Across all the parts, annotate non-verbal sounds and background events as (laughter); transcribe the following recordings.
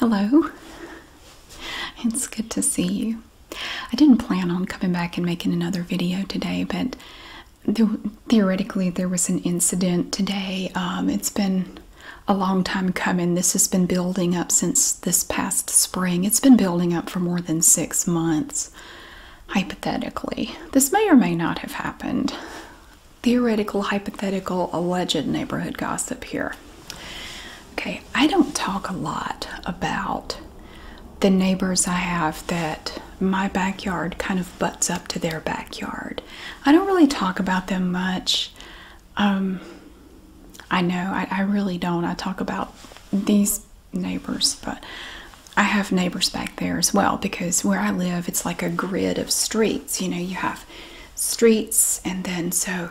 Hello. It's good to see you. I didn't plan on coming back and making another video today, but theoretically there was an incident today. Um, it's been a long time coming. This has been building up since this past spring. It's been building up for more than six months. Hypothetically, this may or may not have happened theoretical, hypothetical, alleged neighborhood gossip here. Okay, I don't talk a lot about the neighbors I have that my backyard kind of butts up to their backyard. I don't really talk about them much. Um, I know, I, I really don't. I talk about these neighbors, but I have neighbors back there as well because where I live, it's like a grid of streets. You know, you have streets, and then so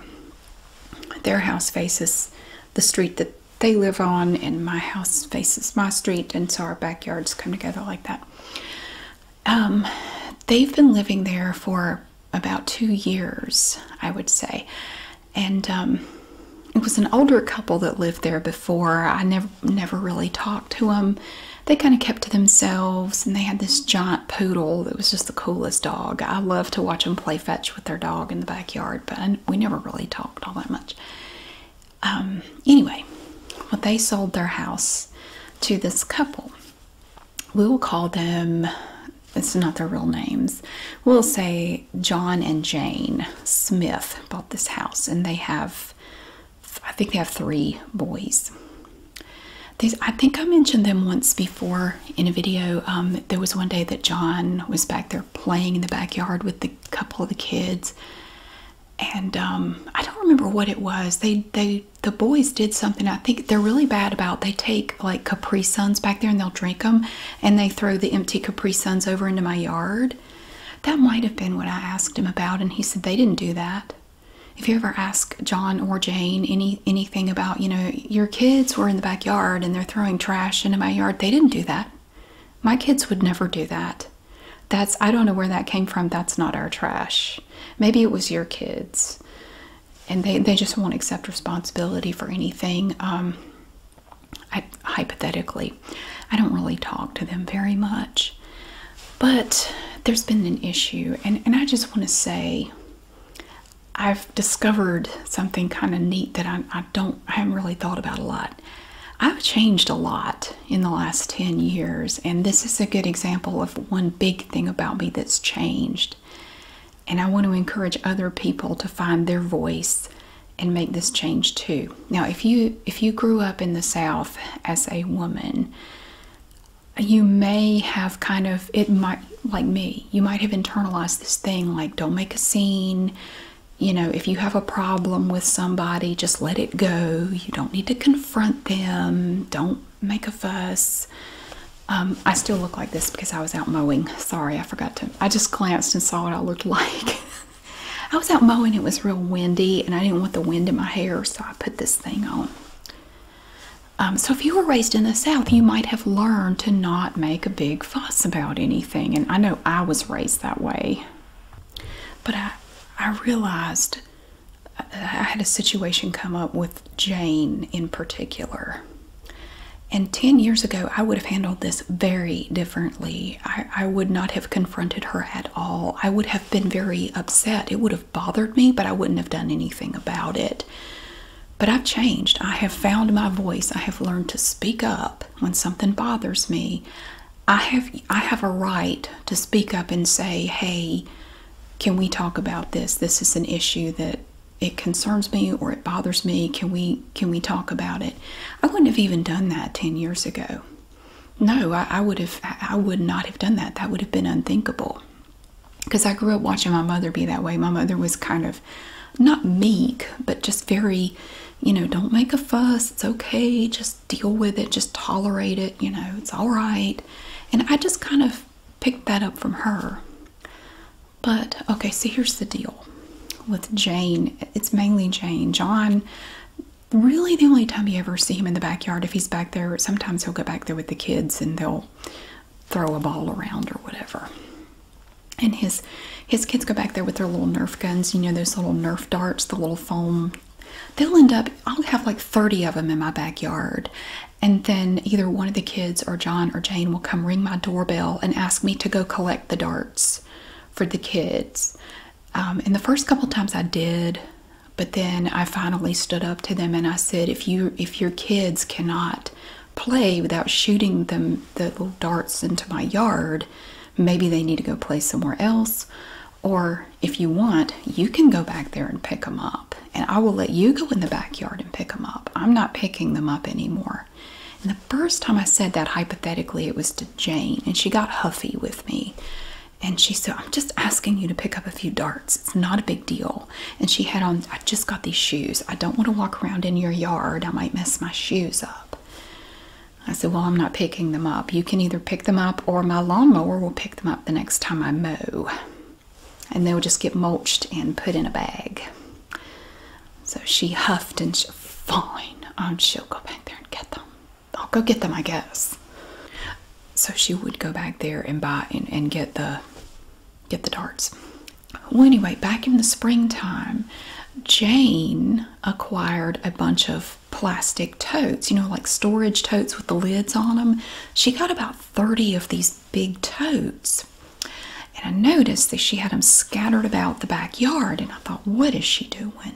their house faces the street that they live on, and my house faces my street, and so our backyards come together like that. Um, they've been living there for about two years, I would say, and um, it was an older couple that lived there before. I never never really talked to them they kind of kept to themselves and they had this giant poodle that was just the coolest dog. I love to watch them play fetch with their dog in the backyard, but we never really talked all that much. Um, anyway, well, they sold their house to this couple. We will call them, it's not their real names, we'll say John and Jane Smith bought this house and they have, I think they have three boys. I think I mentioned them once before in a video. Um, there was one day that John was back there playing in the backyard with the couple of the kids, and um, I don't remember what it was. They, they, the boys did something. I think they're really bad about. They take like Capri Suns back there and they'll drink them, and they throw the empty Capri Suns over into my yard. That might have been what I asked him about, and he said they didn't do that if you ever ask John or Jane any anything about, you know, your kids were in the backyard and they're throwing trash into my yard, they didn't do that. My kids would never do that. That's I don't know where that came from. That's not our trash. Maybe it was your kids. And they, they just won't accept responsibility for anything. Um, hypothetically, I don't really talk to them very much. But there's been an issue, and, and I just want to say I've discovered something kind of neat that I, I don't I haven't really thought about a lot. I've changed a lot in the last 10 years, and this is a good example of one big thing about me that's changed. And I want to encourage other people to find their voice and make this change too. Now, if you if you grew up in the South as a woman, you may have kind of it might like me you might have internalized this thing like don't make a scene you know if you have a problem with somebody just let it go you don't need to confront them don't make a fuss um, i still look like this because i was out mowing sorry i forgot to i just glanced and saw what i looked (laughs) like i was out mowing it was real windy and i didn't want the wind in my hair so i put this thing on um, so, if you were raised in the South, you might have learned to not make a big fuss about anything. And I know I was raised that way. But I, I realized uh, I had a situation come up with Jane in particular. And 10 years ago, I would have handled this very differently. I would not have confronted her at all. I would have been very upset. It would have bothered me, but I wouldn't have done anything about it. But I've changed. I have found my voice. I have learned to speak up when something bothers me. I have I have a right to speak up and say, "Hey, can we talk about this? This is an issue that it concerns me or it bothers me. Can we can we talk about it?" I wouldn't have even done that 10 years ago. No, I would have I would not have done that. That would have been unthinkable because I grew up watching my mother be that way. My mother was kind of not meek, but just very, you know, don't make a fuss. It's okay. Just deal with it. Just tolerate it. You know, it's all right. And I just kind of picked that up from her. But okay, so here's the deal with Jane. It's mainly Jane. John, really, the only time you ever see him in the backyard, if he's back there, sometimes he'll get back there the kids and they'll throw a ball around or whatever. And his his kids go back there with their little Nerf guns, you know, those little Nerf darts, the little foam. They'll end up, I'll have like 30 of them in my backyard. And then either one of the kids or John or Jane will come ring my doorbell and ask me to go collect the darts for the kids. Um, and the first couple times I did, but then I finally stood up to them and I said, if you if your kids cannot play without shooting them the little darts into my yard, maybe they need to go play somewhere else. Or if you want, you can go back there and pick them up. And I will let you go in the backyard and pick them up. I'm not picking them up anymore. And the first time I said that hypothetically, it was to Jane, and she got huffy with me and she said, I'm just asking you to pick up a few darts. It's not a big deal. And she had on, I just got these shoes. I don't want to walk around in your yard. I might mess my shoes up. I said, Well, I'm not picking them up. You can either pick them up or my lawnmower will pick them up the next time I mow. And they'll just get mulched and put in a bag. So she huffed and she, fine, um, she'll go back there and get them. I'll go get them, I guess so she would go back there and buy and, get the get the darts. Well, anyway, back in the springtime, Jane acquired a bunch of plastic totes, you know, like storage totes with the lids on them. She got about 30 of these big totes. And I noticed that she had them scattered about the backyard, and I thought, what is she doing?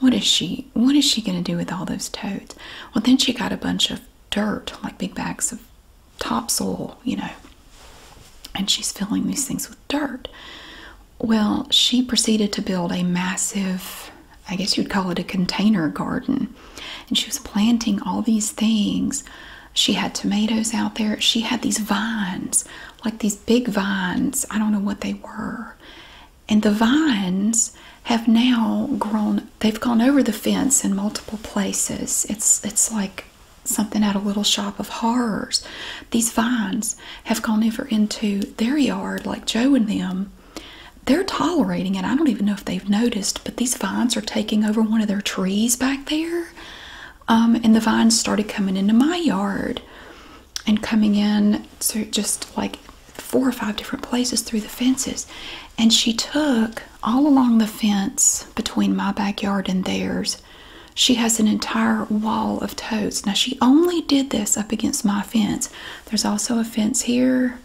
What is she what is she going to do with all those totes? Well, then she got a bunch of dirt, like big bags of topsoil, you know. And she's filling these things with dirt. Well, she proceeded to build a massive, I guess you'd call it a container garden. And she was planting all these things. She had tomatoes out there. She had these vines, like these big vines. I don't know what they were. And the vines have now grown, they've gone over the fence in multiple places. It's, it's like something out a little shop of horrors. These vines have gone over into their yard, like Joe and them. They're tolerating it. I don't even know if they've noticed, but these vines are taking over one of their trees back there. Um, and the vines started coming into my yard and coming in to just like four or five different places through the fences. And she took all along the fence between my backyard and theirs. She has an entire wall of totes. Now, she only did this up against my fence. There's also a fence here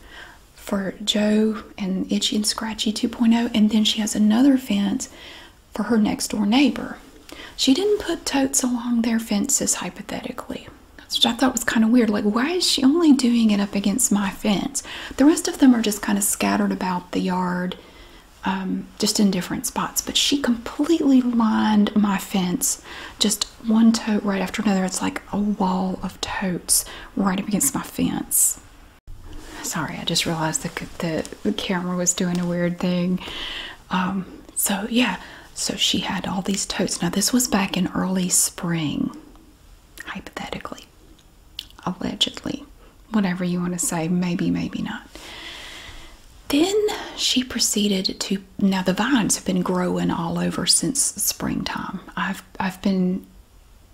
for Joe and Itchy and Scratchy 2.0, and then she has another fence for her next door neighbor. She didn't put totes along their fences, hypothetically which I thought was kind of weird. Like, why is she only doing it up against my fence? The rest of them are just kind of scattered about the yard, um, just in different spots. But she completely lined my fence, just one tote right after another. It's like a wall of totes right up against my fence. Sorry, I just realized that the, the camera was doing a weird thing. Um, so, yeah, so she had all these totes. Now, this was back in early spring hypothetically, allegedly, whatever you want to say, maybe, maybe not. Then she proceeded to now the vines have been growing all over since springtime. I've I've been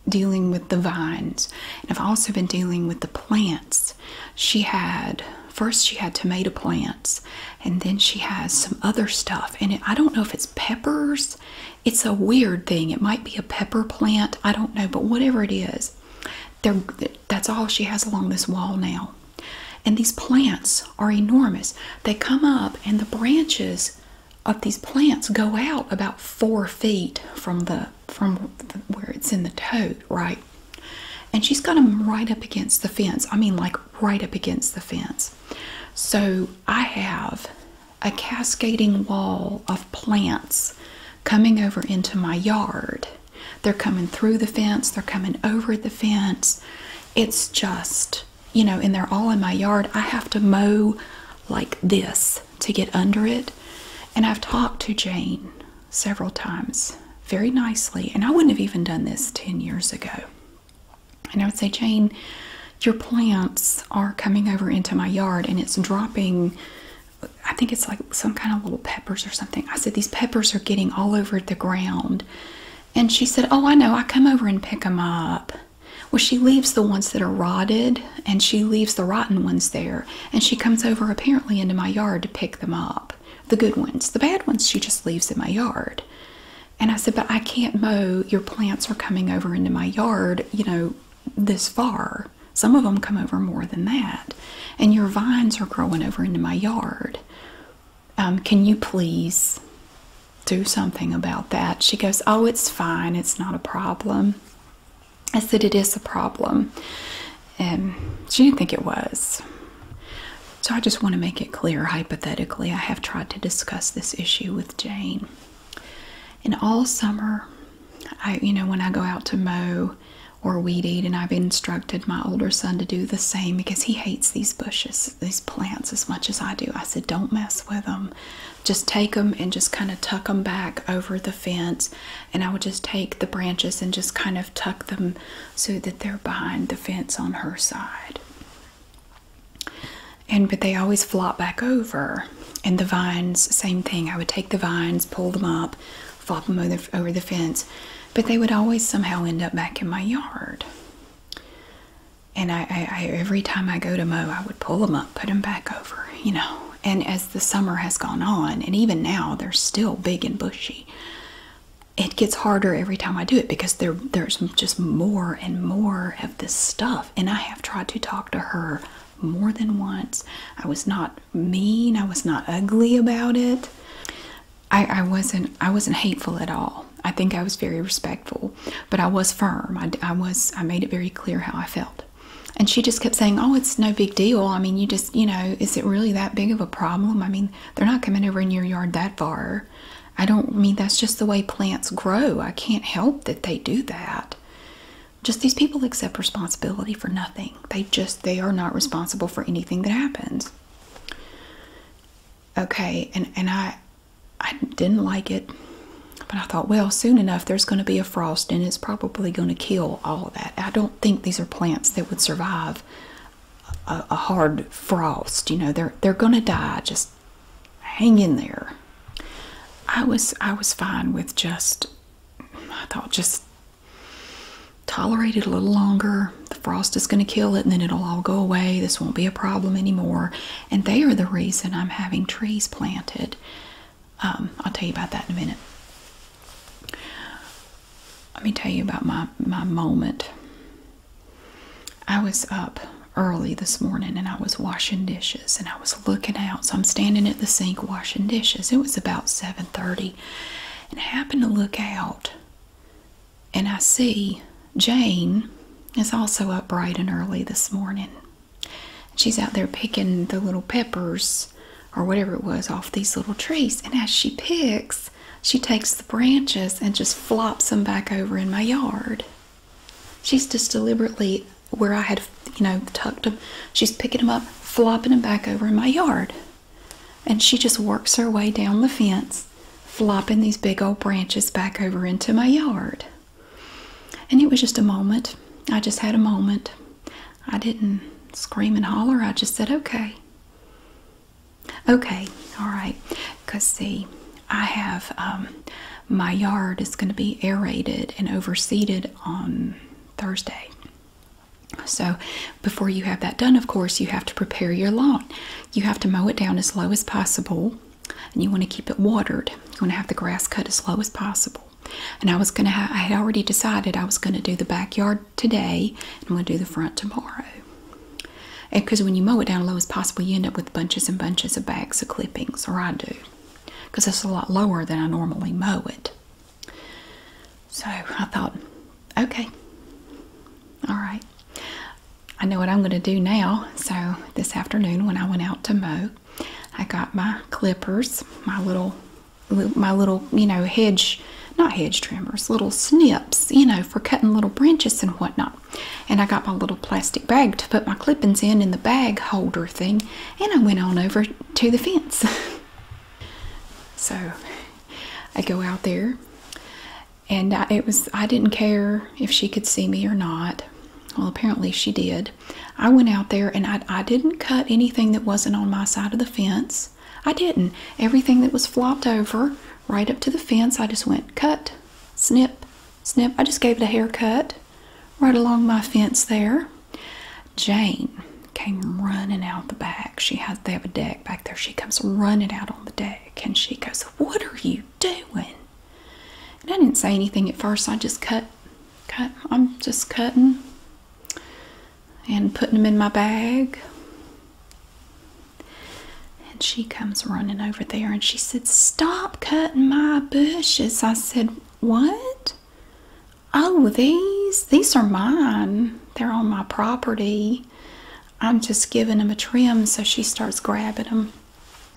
dealing with the vines and I've also been dealing with the plants. She had first she had tomato plants and then she has some other stuff and I don't know if it's peppers it's a weird thing. It might be a pepper plant, I don't know, but whatever it is, that's all she has along this wall now. And these plants are enormous. They come up, and the branches of these plants go out about four feet from the from where it's in the toad, right? And she's got them right up against the fence. I mean, like right up against the fence. So I have a cascading wall of plants coming over into my yard. They're coming through the fence, they're coming over the fence. It's just, you know, and they're all in my yard. I have to mow like this to get under it. And I've talked to Jane several times very nicely, and I wouldn't have even done this 10 years ago. And I would say, Jane, your plants are coming over into my yard and it's dropping. I think it's like some kind of little peppers or something. I said, These peppers are getting all over the ground. And she said, Oh, I know. I come over and pick them up. Well, she leaves the ones that are rotted and she leaves the rotten ones there. And she comes over apparently into my yard to pick them up. The good ones. The bad ones she just leaves in my yard. And I said, But I can't mow. Your plants are coming over into my yard, you know, this far. Some of them come over more than that. And your vines are growing over into my yard. Um, can you please do something about that? She goes, Oh, it's fine. It's not a problem. I said, It is a problem. And she didn't think it was. So I just want to make it clear hypothetically, I have tried to discuss this issue with. Jane. And all summer, I you know when I go out to mow or weed eat, and I've instructed my older son to do the same because he hates these bushes, these plants as much as I do. I said, don't mess with them. Just take them and just kind of tuck them back over the fence. And I would just take the branches and just kind of tuck them so that they're behind the fence on her side and but they always flop back over and the vines same thing i would take the vines pull them up flop them over the, over the fence but they would always somehow end up back in my yard and I, I every time i go to mow i would pull them up put them back over you know and as the summer has gone on and even now they're still big and bushy it gets harder every time i do it because there, there's just more and more this stuff. And I have tried to talk to her more than once. I was not mean, I was not ugly about it. I, wasn't I wasn't hateful at all. I think I was very respectful, but I was firm. I was I made it very clear how I felt. And she just kept saying, "Oh, it's no big deal. I mean, you just, you know, is it really that big of a problem? I mean, they're not coming over in your yard that far." I don't mean that's just the way plants grow. I can't help that they do that. Just these people accept responsibility for nothing. They just they are not responsible for anything that happens. Okay, and and I I didn't like it, but I thought, well, soon enough there's going to be a frost and it's probably going to kill all that. I don't think these are plants that would survive a hard frost. You know, they're they're going to die. Just hang in there. I was I was fine with just I thought just tolerate it a little longer. The frost is going to kill it and then it'll all go away. This won't be a problem anymore. And they are the reason I'm having trees planted. Um, I'll tell you about that in a minute. Let me tell you about my my moment. I was up early this morning and I was washing dishes and I was looking out. So I'm standing at the sink washing dishes. It was about 7:30 and I happened to look out and I see Jane is also up bright and early this morning. She's out there picking the little peppers or whatever it was off these little trees. And as she picks, she takes the branches and just flops them back over in my yard. She's just deliberately where I had, you know, tucked them. She's picking them up, flopping them back over in my yard. And she just works her way down the fence, flopping these big old branches back over into my yard. And it was just a moment. I just had a moment. I didn't scream and holler. I just said, okay. Okay, all right. Because, see, I have um, my yard is going to be aerated and overseeded on Thursday. So, before you have that done, of course, you have to prepare your lawn. You have to mow it down as low as possible, and you want to keep it watered. You want to have the grass cut as low as possible. And I was going to, I had already decided I was going to do the backyard today, and I'm going to do the front tomorrow. Because when you mow it down low as possible, you end up with bunches and bunches of bags of clippings, or I do, because it's a lot lower than I normally mow it. So I thought, okay, all right. I know what I'm going to do now. So this afternoon, when I went out to mow, I got my clippers, my little, my little, you know, hedge, not hedge trimmers, little snips, you know, for cutting little branches and whatnot. And I got my little plastic bag to put my clippings in in the bag holder thing, and I went on over to the fence. (laughs) so I go out there, and I, it was I didn't care if she could see me or not. Well, apparently she did. I went out there and I, I didn't cut anything that wasn't on my side of the fence. I didn't. Everything that was flopped over right up to the fence, I just went cut, snip, snip. I just gave it a haircut right along my fence there. Jane came running out the back. She has they have a deck back there. She comes running out on the deck and she goes, What are you doing? And I didn't say anything at first. I just cut cut I'm just cutting and putting them in my bag. And she comes running over there and she said, Stop cutting my bushes. I said, What? Oh, these? These are mine. They're on my property. I'm just giving them a trim. So she starts grabbing them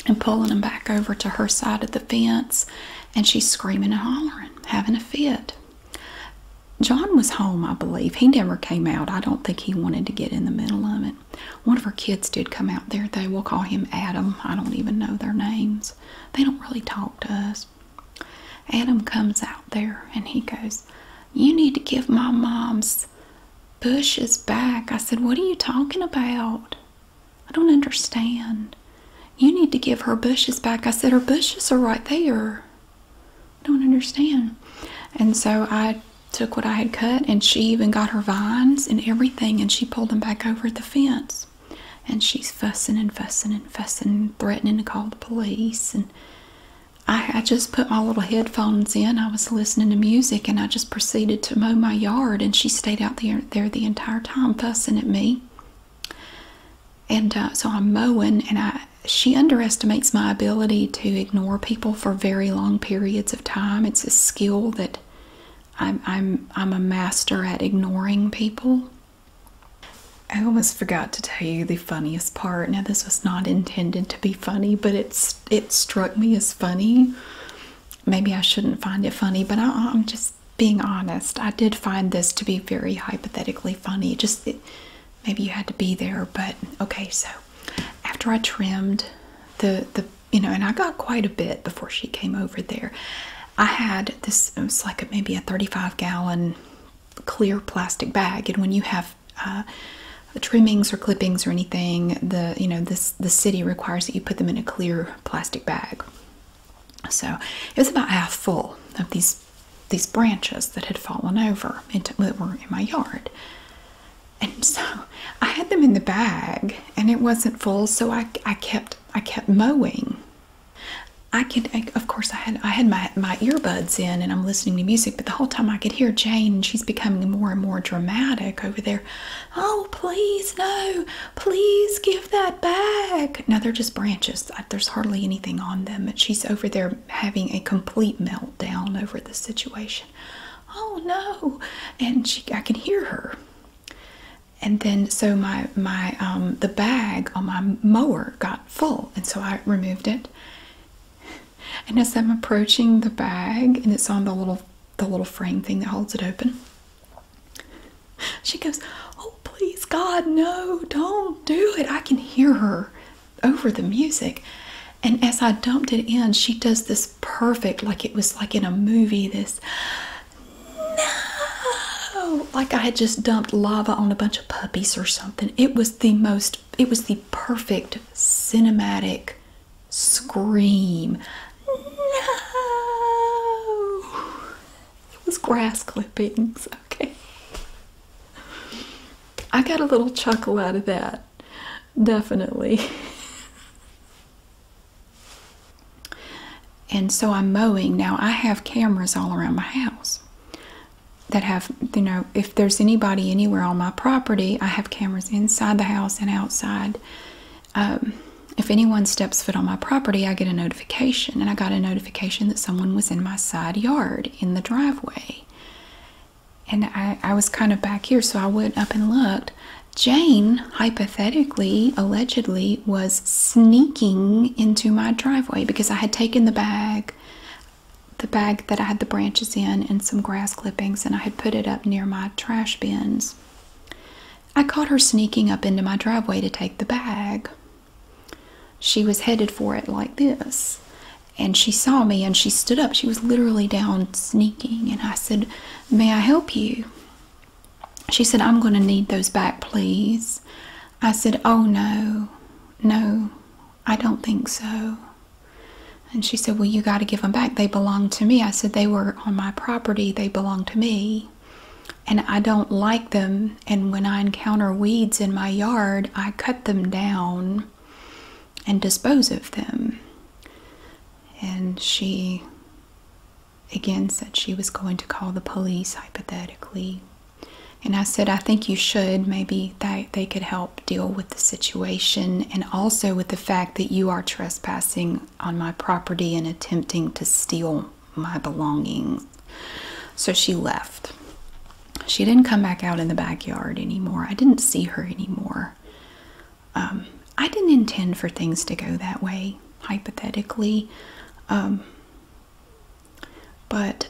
and pulling them back over to her side of the fence. And she's screaming and hollering, having a fit. John was home, I believe. He never came out. I don't think he wanted to get in the middle of it. One of her kids did come out there, They will call him Adam. I don't even know their names. They don't really talk to us. Adam comes out there and he goes, You need to give my mom's bushes back. I said, What are you talking about? I don't understand. You need to give her bushes back. I said, Her bushes are right there. I don't understand. And so I took what I had cut, and she even got her vines and everything, and she pulled them back over the fence. And she's fussing and fussing and fussing, and threatening to call the police. And I, just put my little headphones in. I was listening to music, and I just proceeded to mow my yard. And she stayed out there there the entire time, fussing at me. And uh, so I'm mowing, and I she underestimates my ability to ignore people for very long periods of time. It's a skill that I'm I'm I'm a master at ignoring people. I almost forgot to tell you the funniest part. Now this was not intended to be funny, but it's it struck me as funny. Maybe I shouldn't find it funny, but I, am just being honest. I did find this to be very hypothetically funny. Just maybe you had to be there, but okay. So after I trimmed the the you know, and I got quite a bit before she came over there. I had this it was like a, maybe a 35 gallon clear plastic bag, and when you have uh, trimmings or clippings or anything, the you know this the city requires that you put them in a clear plastic bag. So it was about half full of these these branches that had fallen over into, that were in my yard and so I had them in the bag and it wasn't full so I, I kept I kept mowing I could I, of course I had I had my, my earbuds in and I'm listening to music but the whole time I could hear Jane and she's becoming more and more dramatic over there oh please no please give that back now they're just branches there's hardly anything on them But she's over there having a complete meltdown over the situation oh no. And she, I can hear her. And then so my, my, um, the bag on my mower got full. And so I removed it. And as I'm approaching the bag and it's on the little, the little frame thing that holds it open, she goes, oh, please God, no, don't do it. I can hear her over the music. And as I dumped it in, she does this perfect, like it was like in a movie, this no, like I had just dumped lava on a bunch of puppies or something. It was the most, it was the perfect cinematic scream. No, it was grass clippings. Okay. I got a little chuckle out of that. Definitely. and so I'm mowing. Now I have cameras all around my house that have, you know, if there's anybody anywhere on my property, I have cameras inside the house and outside. Um, if anyone steps foot on my property, I get a notification. And I got a notification that someone was in my side yard in the driveway and I, was kind of back here, so I went up and looked. Jane, hypothetically, allegedly, was sneaking into my driveway because I had taken the bag, the bag that I had the branches in, and some grass clippings, and I had put it up near my trash bins. I caught her sneaking up into my driveway to take the bag. She was headed for it like this and she saw me and she stood up. She was literally down sneaking, and I said, May I help you? She said, I'm going to need those back, please. I said, Oh no, no, I don't think so. And she said, Well, you got to give them back. They belong to me. I said, They were on my property, they belong to me. And I don't like them. And when I encounter weeds in my yard, I cut them down and dispose of them. And she again said she was going to call the police hypothetically. And I said, I think you should. Maybe they, they could help deal with the situation and also with the fact that you are trespassing on my property and attempting to steal my belongings. So she left. She didn't come back out in the backyard anymore. I didn't see her anymore. Um, I didn't intend for things to go that way, hypothetically. Um, but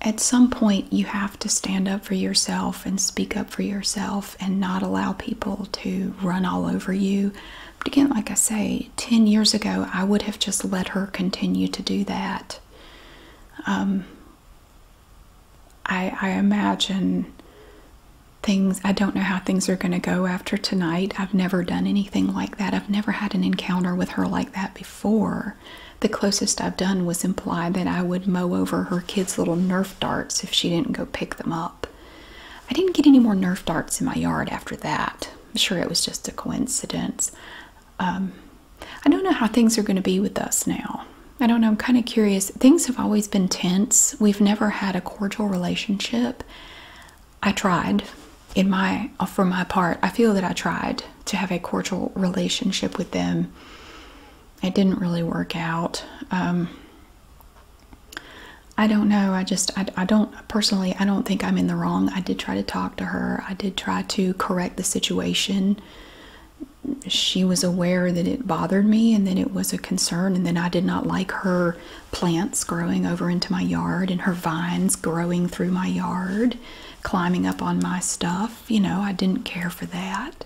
at some point, you have to stand up for yourself and speak up for yourself and not allow people to run all over you. But again, like I say, 10 years ago, I would have just let her continue to do that. Um, I, imagine things, I don't know how things are going to go after tonight. I've never done anything like that. I've never had an encounter with her like that before. The closest I've done was implied that I would mow over her kids' little Nerf darts if she didn't go pick them up. I didn't get any more Nerf darts in my yard after that. I'm sure it was just a coincidence. Um, I don't know how things are going to be with us now. I don't know, I'm kind of curious. Things have always been tense. We've never had a cordial relationship. I tried in my uh, for my part. I feel that I tried to have a cordial relationship with them. It didn't really work out. Um, I don't know. I just I, I don't personally I don't think I'm in the wrong. I did try to talk to her. I did try to correct the situation she was aware that it bothered me and that it was a concern and that I did not like her plants growing over into my yard and her vines growing through my yard, climbing up on my stuff. You know, I didn't care for that.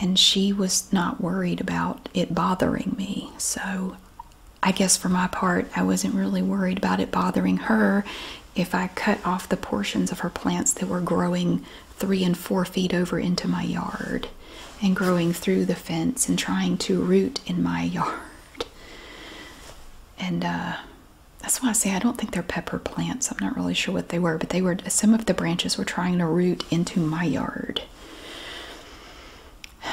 And she was not worried about it bothering me. So I guess for my part, I wasn't really worried about it bothering her if I cut off the portions of her plants that were growing three and four feet over into my yard and growing through the fence and trying to root in my (laughs) yard. And uh, that's why I say I don't think they're pepper plants. I'm not really sure what they were, but they were some of the branches were trying to root into my yard. (sighs)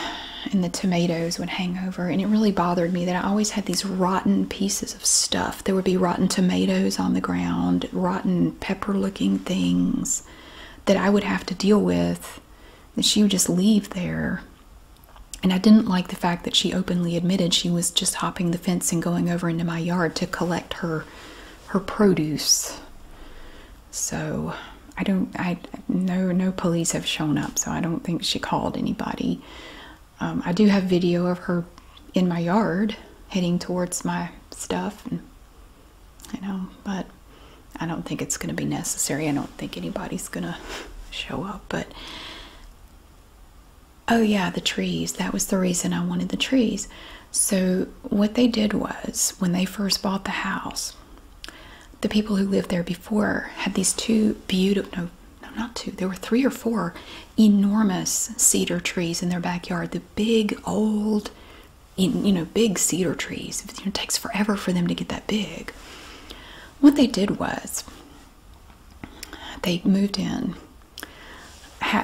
And the tomatoes would hang over, and it really bothered me that I always had these rotten pieces of stuff. There would be rotten tomatoes on the ground, rotten pepper looking things that I would have to deal with that she would just leave there. And I didn't like the fact that she openly admitted she was just hopping the fence and going over into my yard to collect her her produce. So I don't I no no police have shown up, so I don't think she called anybody. Um, I do have video of her in my yard heading towards my stuff and you know but i don't think it's going to be necessary i don't think anybody's going (laughs) to show up but oh yeah the trees that was the reason i wanted the trees so what they did was when they first bought the house the people who lived there before had these two beautiful no no not two there were three or four enormous cedar trees in their backyard, the big old, you know, big cedar trees. It takes forever for them to get that big. What they did was they moved in.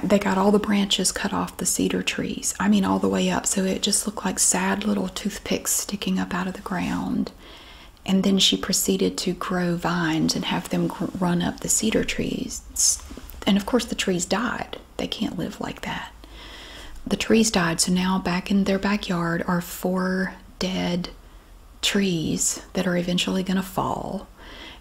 They got all the branches cut off the cedar trees. I mean, all the way up. So it just looked like sad little toothpicks sticking up out of the ground. And then she proceeded to grow vines and have them run up the cedar trees and of course the trees died. They can't live like that. The trees died, so now back in their backyard are four dead trees that are eventually going to fall.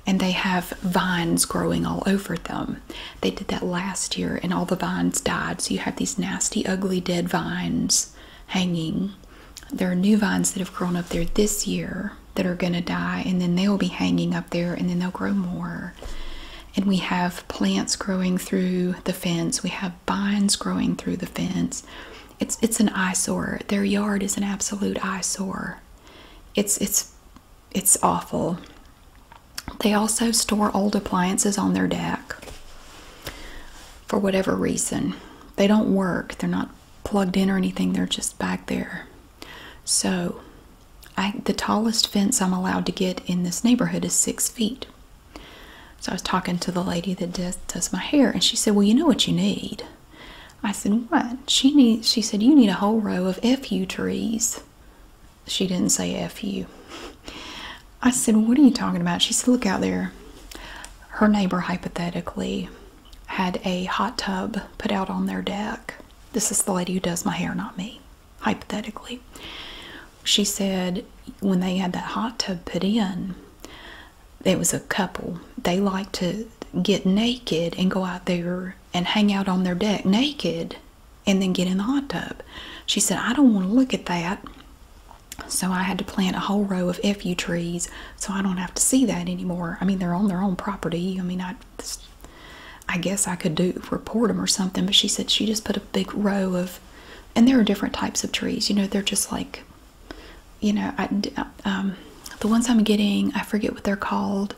And they have vines growing all over them. They did that last year, and all the vines died. So you have these nasty, ugly, dead vines hanging. There are new vines that have grown up there this year that are going to die, and then they'll be hanging up there, and then they'll grow more. And we have plants growing through the fence. We have vines growing through the fence. It's it's an eyesore. Their yard is an absolute eyesore. It's it's it's awful. They also store old appliances on their deck for whatever reason. They don't work. They're not plugged in or anything. They're just back there. So, the tallest fence I'm allowed to get in this neighborhood is six feet. So I was talking to the lady that does, does my hair, and she said, "Well, you know what you need." I said, "What?" She She said, "You need a whole row of fu trees." She didn't say fu. I said, "What are you talking about?" She said, "Look out there." Her neighbor hypothetically had a hot tub put out on their deck this is the lady who does my hair, not me, hypothetically. She said when they had that hot tub put in, it was a couple. They like to get naked and go out there and hang out on their deck naked and then get in the hot tub. She said, I don't want to look at that. So I had to plant a whole row of FU trees so I don't have to see that anymore. I mean, they're on their own property. I mean, I I guess I could do report them or something. But she said she just put a big row of, and there are different types of trees. You know, they're just like, you know, um, the ones I'm getting, I forget what they're called.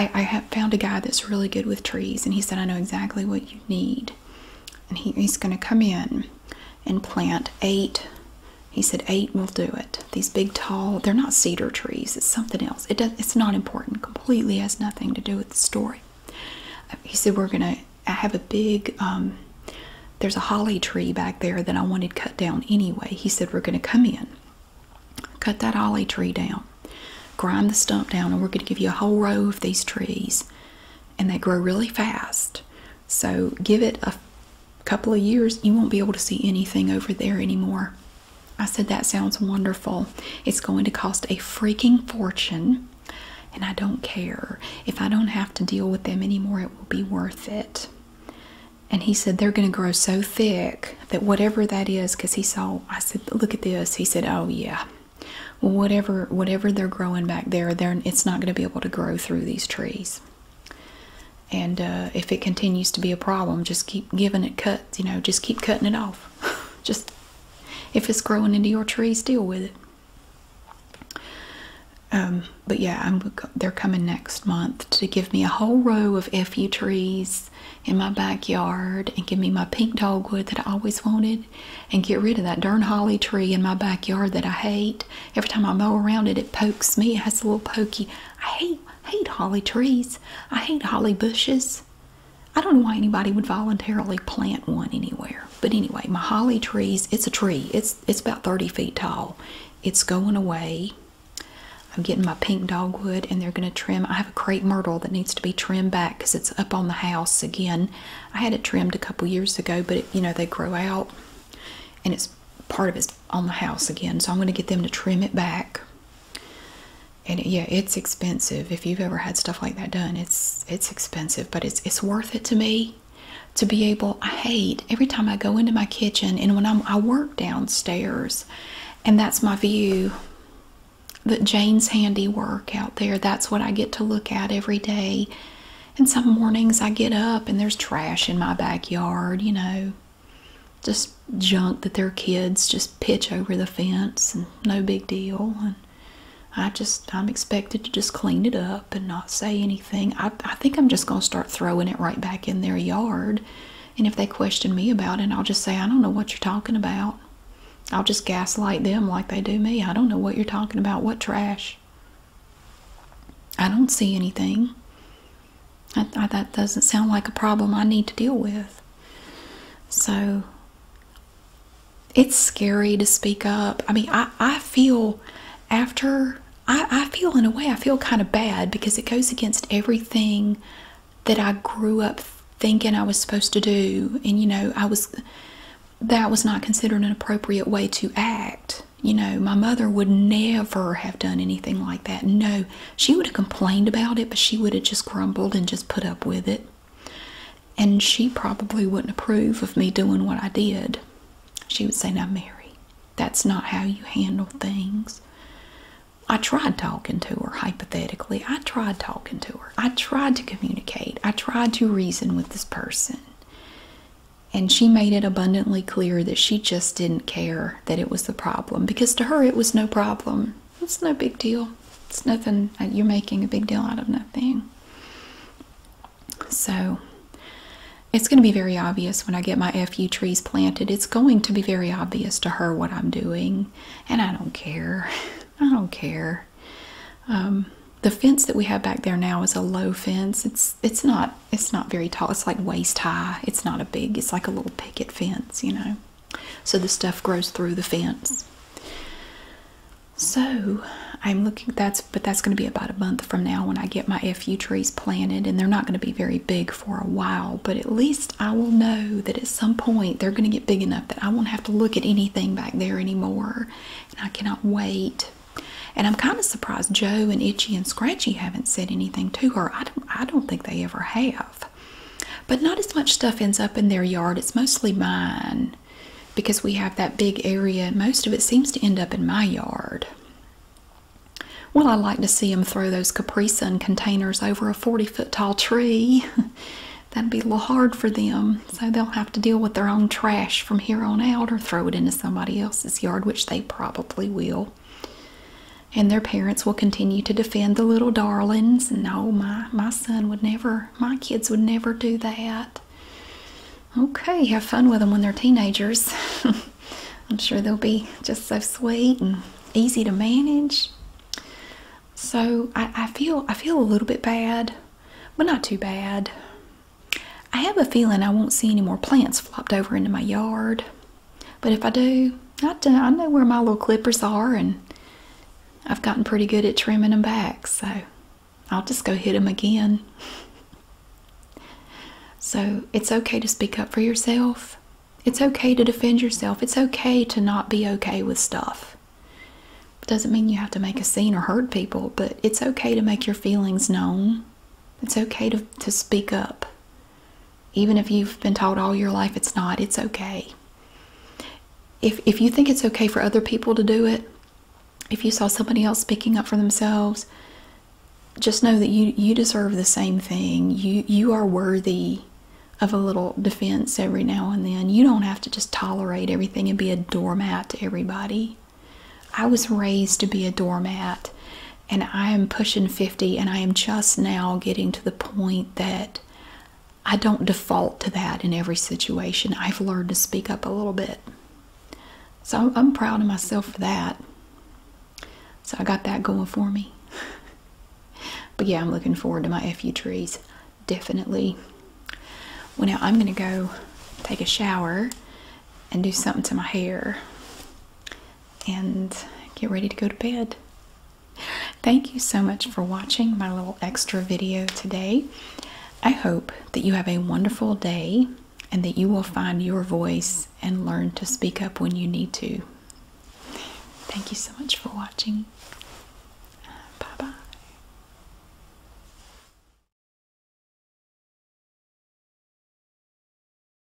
I, have found a guy that's really good with trees, and he said I know exactly what you need, and he's going to come in and plant eight. He said eight will do it these big tall they're not cedar trees it's something else it it's not important completely has nothing to do with the story uh, he said we're gonna i have a big um, there's a holly tree back there that i wanted cut down anyway he said we're gonna come in cut that holly tree down grind the stump down and we're gonna give you a whole row of these trees and they grow really fast so give it a couple of years you won't be able to see anything over there anymore I said, That sounds wonderful. It's going to cost a freaking fortune, and I don't care. If I don't have to deal with them anymore, it will be worth it. And he said, They're going to grow so thick that whatever that is, because he saw, I said, Look at this. He said, Oh, yeah. whatever, whatever they're growing back there, they it's not going to be able to grow through these trees and uh, if it continues to be a problem just keep giving it cuts you know just keep cutting it off (laughs) just if it's growing into your trees deal with it um, but yeah they're coming next month to give me a whole row of fu trees in my backyard and give me my pink dogwood that i always wanted and get rid of that darn holly tree in my backyard that i hate every time i mow around it it pokes me it has a little pokey i hate hate holly trees. I hate holly bushes. I don't know why anybody would voluntarily plant one anywhere. But anyway, my holly trees, it's a tree. It's it's about 30 feet tall. It's going away. I'm getting my pink dogwood and they're going to trim. I have a crepe myrtle that needs to be trimmed back because it's up on the house again. I had it trimmed a couple years ago, but you know, they grow out and it's part of it's on the house again. So I'm going to get them to trim it back and yeah it's expensive if you've ever had stuff like that done it's it's expensive but it's it's worth it to me to be able i hate every time i go into my kitchen and when I'm, i work downstairs and that's my view that jane's handiwork out there that's what i get to look at every day and some mornings i get up and there's trash in my backyard you know just junk that their kids just pitch over the fence and no big deal and i just i'm expected to just clean it up and not say anything i, I think i'm just going to start throwing it right back in their yard and if they question me about it i'll just say i don't know what you're talking about i'll just gaslight them like they do me i don't know what you're talking about what trash i don't see anything that doesn't sound like a problem I need to deal with. So it's scary to speak up. I mean, I, I feel after, I, I feel in a way, I feel kind of bad because it goes against everything that I grew up thinking I was supposed to do. And, you know, I was, that was not considered an appropriate way to act. You know, my mother would never have done anything like that. No, she would have complained about it, but she would have just grumbled and just put up with it. And she probably wouldn't approve of me doing what I did. She would say, Now, Mary, that's not how you handle things. I tried talking to her, hypothetically. I tried talking to her. I tried to communicate. I tried to reason with this person. And she made it abundantly clear that she just didn't care that it was the problem because to her it was no problem. It's no big deal. It's nothing. You're making a big deal out of nothing. So it's going to be very obvious when I get my few trees planted. It's going to be very obvious to her what I'm doing, and I don't care. (laughs) I don't care. Um, the fence that we have back there now is a low fence. It's it's not it's not very tall. It's like waist high. It's not a big. It's like a little picket fence, you know. So the stuff grows through the fence. So I'm looking. That's but that's going to be about a month from now when I get my fu trees planted, and they're not going to be very big for a while. But at least I will know that at some point they're going to get big enough that I won't have to look at anything back there anymore. And I cannot wait. And I'm kind of surprised Joe and Itchy and Scratchy haven't said anything to her. I don't. I don't think they ever have. But not as much stuff ends up in their yard. It's mostly mine because we have that big area most of it seems to end up in my yard. Well, I like to see them throw those Capri Sun containers over a 40 foot tall tree. (laughs) That'd be a little hard for them, so they'll have to deal with their own trash from here on out or throw it into somebody else's yard, which they probably will and their parents will continue to defend the little darlings. No, my my son would never, my kids would never do that. Okay, have fun with them when they're teenagers. (laughs) I'm sure they'll be just so sweet and easy to manage. So I, I feel I feel a little bit bad, but not too bad. I have a feeling I won't see any more plants flopped over into my yard. But if I do, I, I know where my little clippers are, and I've gotten pretty good at trimming them back, so I'll just go hit them again. so it's okay to speak up for yourself. It's okay to defend yourself. It's okay to not be okay with stuff. doesn't mean you have to make a scene or hurt people, but it's okay to make your feelings known. It's okay to, to speak up. Even if you've been taught all your life it's not, it's okay. If, if you think it's okay for other people to do it, if you saw somebody else picking up for themselves, just know that you, you deserve the same thing. You, you are worthy of a little defense every now and then. You don't have to just tolerate everything and be a doormat to everybody. I was raised to be a doormat, and I am pushing 50 and I am just now getting to the point that I don't default to that in every situation. I've learned to speak up a little bit. So I'm proud of myself for that. So I got that going for me. (laughs) but yeah, I'm looking forward to my FU trees. Definitely. Well, now I'm going to go take a shower and do something to my hair and get ready to go to bed. Thank you so much for watching my little extra video today. I hope that you have a wonderful day and that you will find your voice and learn to speak up when you need to. Thank you so much for watching. Bye bye.